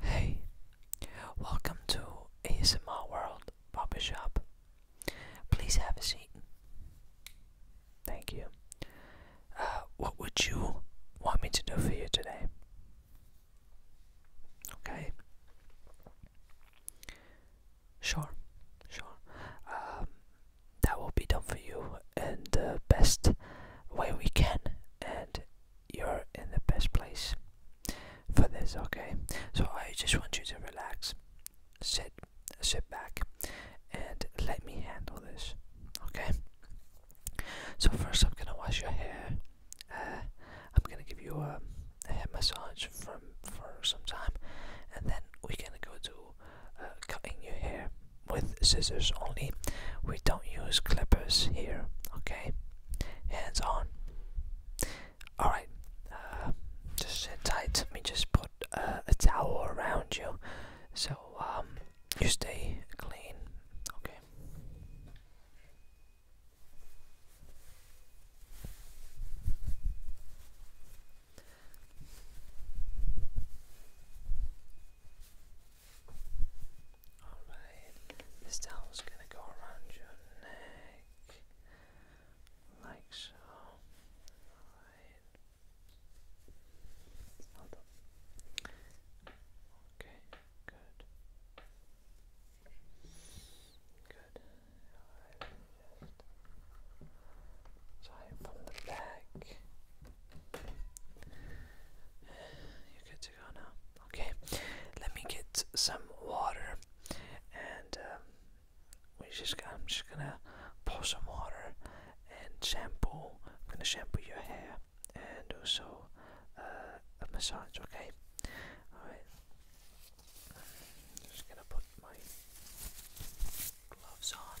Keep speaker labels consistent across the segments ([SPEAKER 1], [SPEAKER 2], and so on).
[SPEAKER 1] Hey, welcome to ASMR World Puppy Shop. Please have a seat. Thank you. Uh, what would you want me to do for you today? Okay. Sure, sure. Um, that will be done for you and best way we can, and you're in the best place for this, okay? So I just want you to relax, sit, sit back, and let me handle this, okay? So first, I'm gonna wash your hair. Uh, I'm gonna give you a, a massage from for some time, and then we're gonna go to uh, cutting your hair with scissors only we don't use clippers here okay hands on all right uh, just sit tight let me just put uh, a towel around you so um, you stay clean okay Alright, this towel's going to go around your neck like so. Alright. Hold up. Okay, good. Good. Alright, just tie it from the back. You're good to go now. Okay, let me get some water, and um, we just I'm just gonna pour some water and shampoo. I'm gonna shampoo your hair and also uh, a massage. Okay, all just gonna put my gloves on.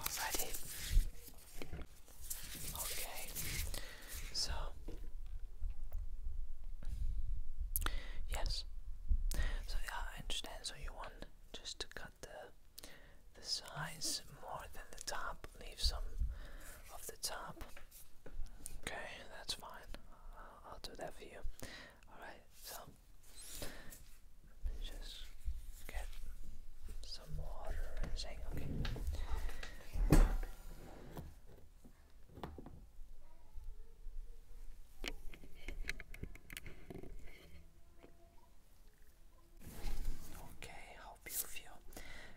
[SPEAKER 1] Alrighty. Okay. So yes. So yeah, I understand. So you want just to cut the the sides more than the top. Leave some of the top. Okay, that's fine. I'll, do that for you. Alright, so just get some water and saying, okay. Okay, hope you feel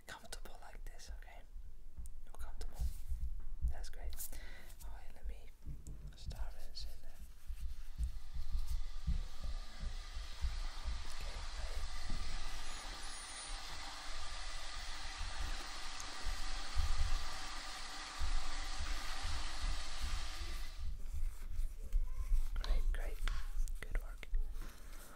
[SPEAKER 1] comfortable like this, okay? You're comfortable? That's great. Alright, let me start rinsing Okay, Great, great. Good work.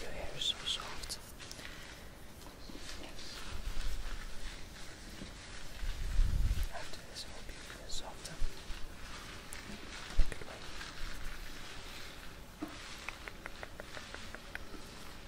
[SPEAKER 1] your hair is so soft. After this, I hope you softer.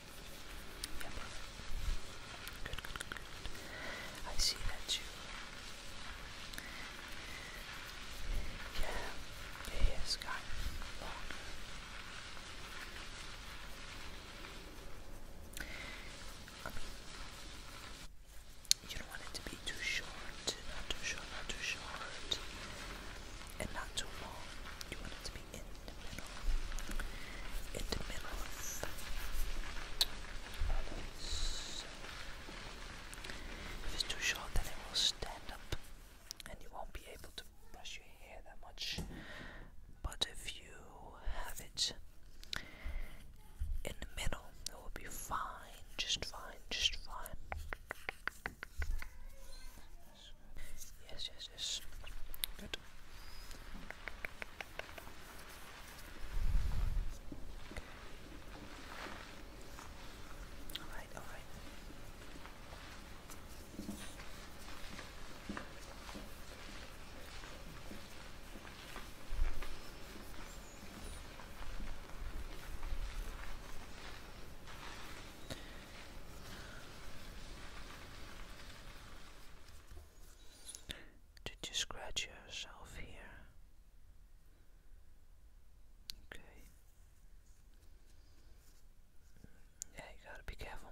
[SPEAKER 1] Yeah, Good, good, I see that you. Yeah, your hair's gotten you don't want it to be too short, not too short, not too short, and not too long. You want it to be in in the middle of If it's too short, then it will stand up and you won't be able to brush your hair that much. But if you have it in the middle, it will be fine, just fine, just fine. Yes, yes, yes. Good. All right, all right. Did you scratch yourself here? Okay. Yeah, you gotta be careful.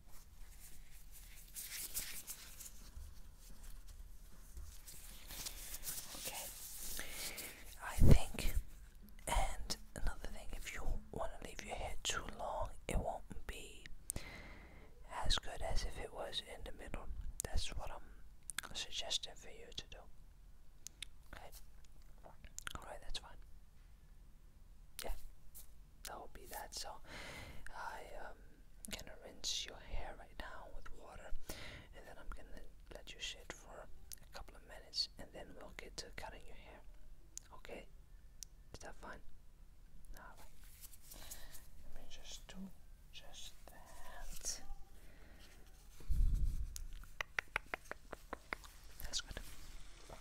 [SPEAKER 1] Okay, I think, and another thing, if you want to leave your hair too long, it won't be as good as if it was in the middle. That's what I'm suggesting for you to do. Okay, alright, that's fine yeah, that will be that. So I am um, gonna rinse your hair right now with water, and then I'm gonna let you sit for a couple of minutes, and then we'll get to cutting your hair. Okay, is that fine? All right. Let me just do just that. That's good.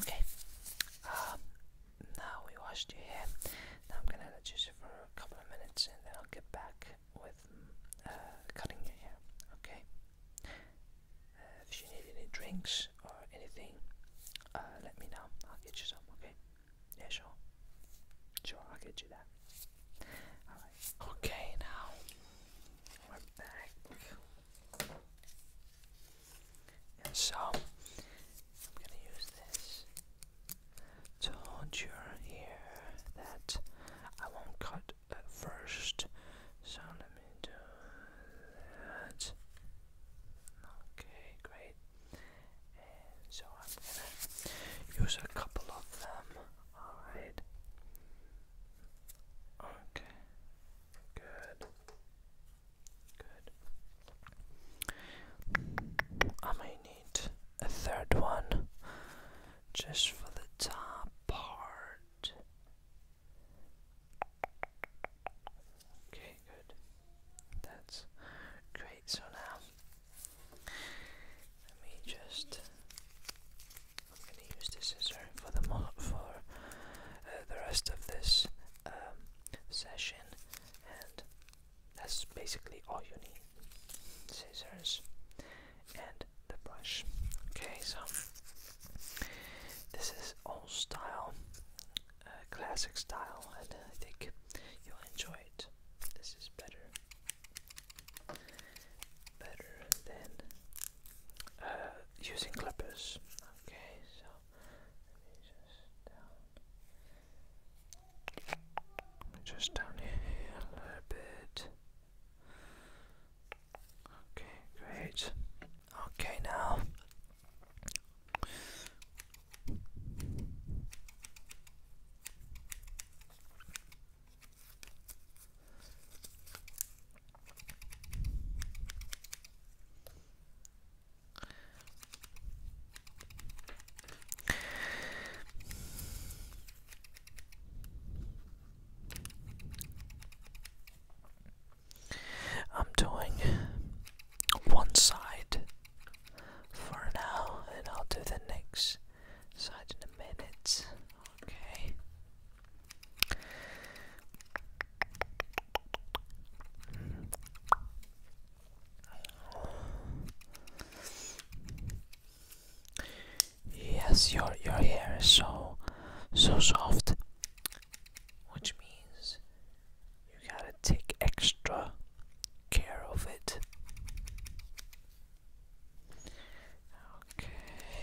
[SPEAKER 1] Okay. Um, now we washed your hair. Now I'm gonna let you sit for a couple of minutes, and then I'll get back with uh, cutting your hair. Okay. Uh, if you need any drinks or anything, uh, let me know. I'll get you some. Okay. Yeah, sure. Sure, I'll get you that. Alright. Okay, now we're back. And so I'm gonna use this to hold your ear that I won't cut at first. So let me do that. Okay, great. so I'm gonna use a couple of them. Alright. Okay. Good. Good. I may need a third one just for the top part. Okay, good. That's great. So now let me just I'm going to use the scissor for uh, the rest of this um, session, and that's basically all you need: scissors and the brush. Okay, so this is old style, uh, classic style, and I think you'll enjoy it. This is better, better than uh, using clippers. Okay, so just down here a little bit. Okay, great. Okay, now. I'm doing one side for now, and I'll do the next side in a minute. Okay. Yes, your your hair is so so soft, which means you gotta take extra care of it. Okay.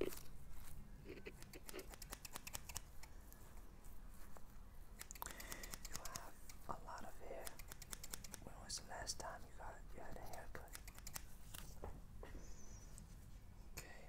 [SPEAKER 1] You have a lot of hair. When was the last time you got you had a haircut? Okay.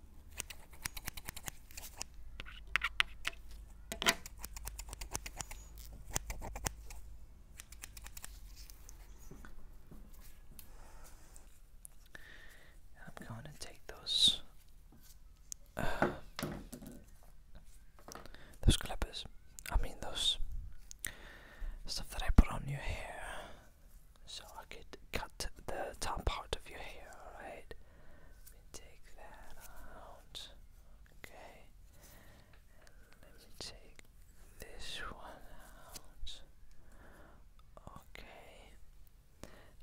[SPEAKER 1] I'm going to take those uh, those clippers. I mean those stuff that I put on your hair, so I could cut the top part of your hair. All right. Let me take that out. Okay. let me take this one out. Okay.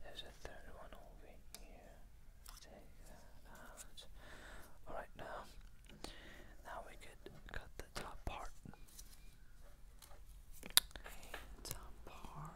[SPEAKER 1] There's a third one over here. Take that out. Alright now. Now we could cut the top part. top part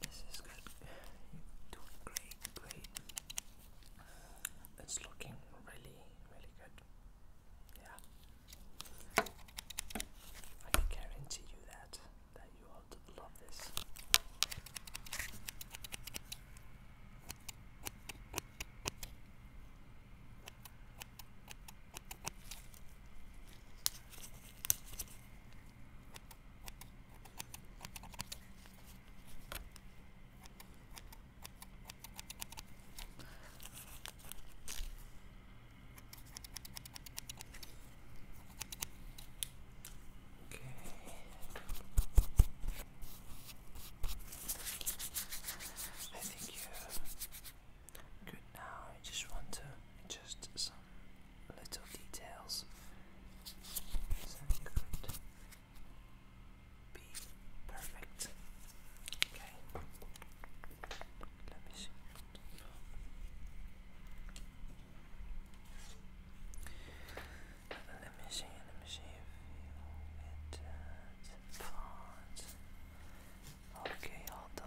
[SPEAKER 1] This is good. You're doing great, great. It's looking really, really good. Yeah. I can guarantee you that that you ought to love this. Okay. I think you're good now. I just want to adjust some little details. So it be perfect. Okay. Let me see. Let me see, let me see you Okay, hold on.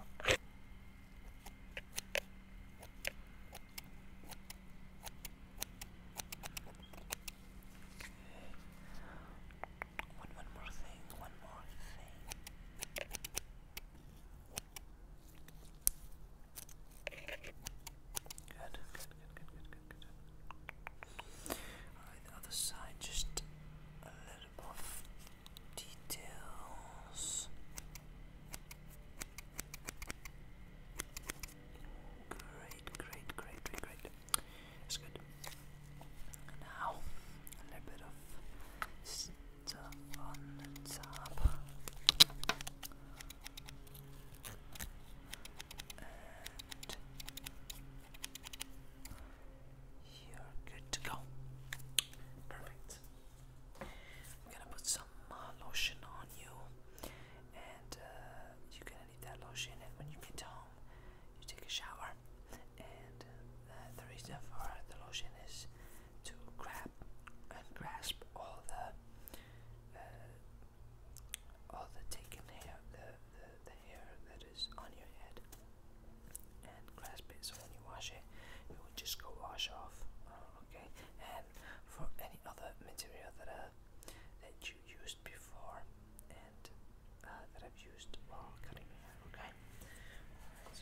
[SPEAKER 1] one more thing, one more thing. Good, good, good, good, good, good, good. Alright, the other side, just a little bit of details. Great, great, great, great, great. That's good. Now, a little bit of on the top. And uh, you're good to go. Perfect. I'm gonna put some lotion on you, and you're gonna need that lotion. And when you get home, you take a shower. And uh, the reason for the lotion is to grab and grasp all the uh, all the taken hair, the, the hair that is on your head, and grasp it. So when you wash it, it will just go wash off. Uh, okay. And for any other material that uh, that you used before and that I've used while cutting hair. Okay.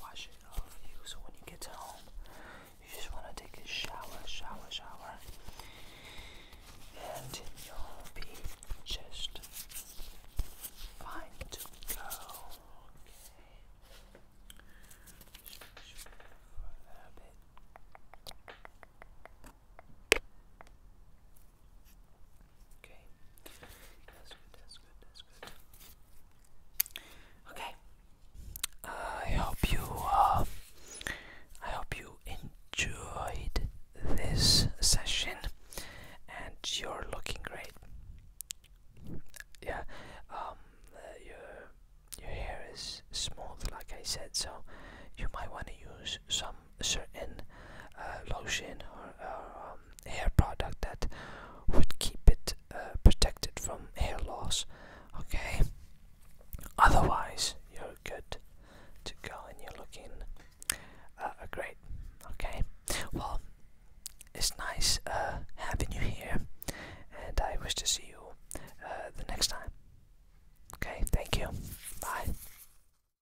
[SPEAKER 1] wash it off you. So when you get home, you just want to take a shower, shower, shower, and you'll be just fine to go. Okay. Okay. That's good, that's good, that's good. Okay. I hope you uh, I hope you enjoyed this session and you're looking great. Yeah. Um your your hair is smooth like I said so you might want to use some certain uh, lotion or, um, hair product that would keep it uh, protected from hair loss. Okay, otherwise, you're good to go and you're looking uh, great. Okay, well, it's nice having you here, and I wish to see you the next time. Okay, thank you. Bye.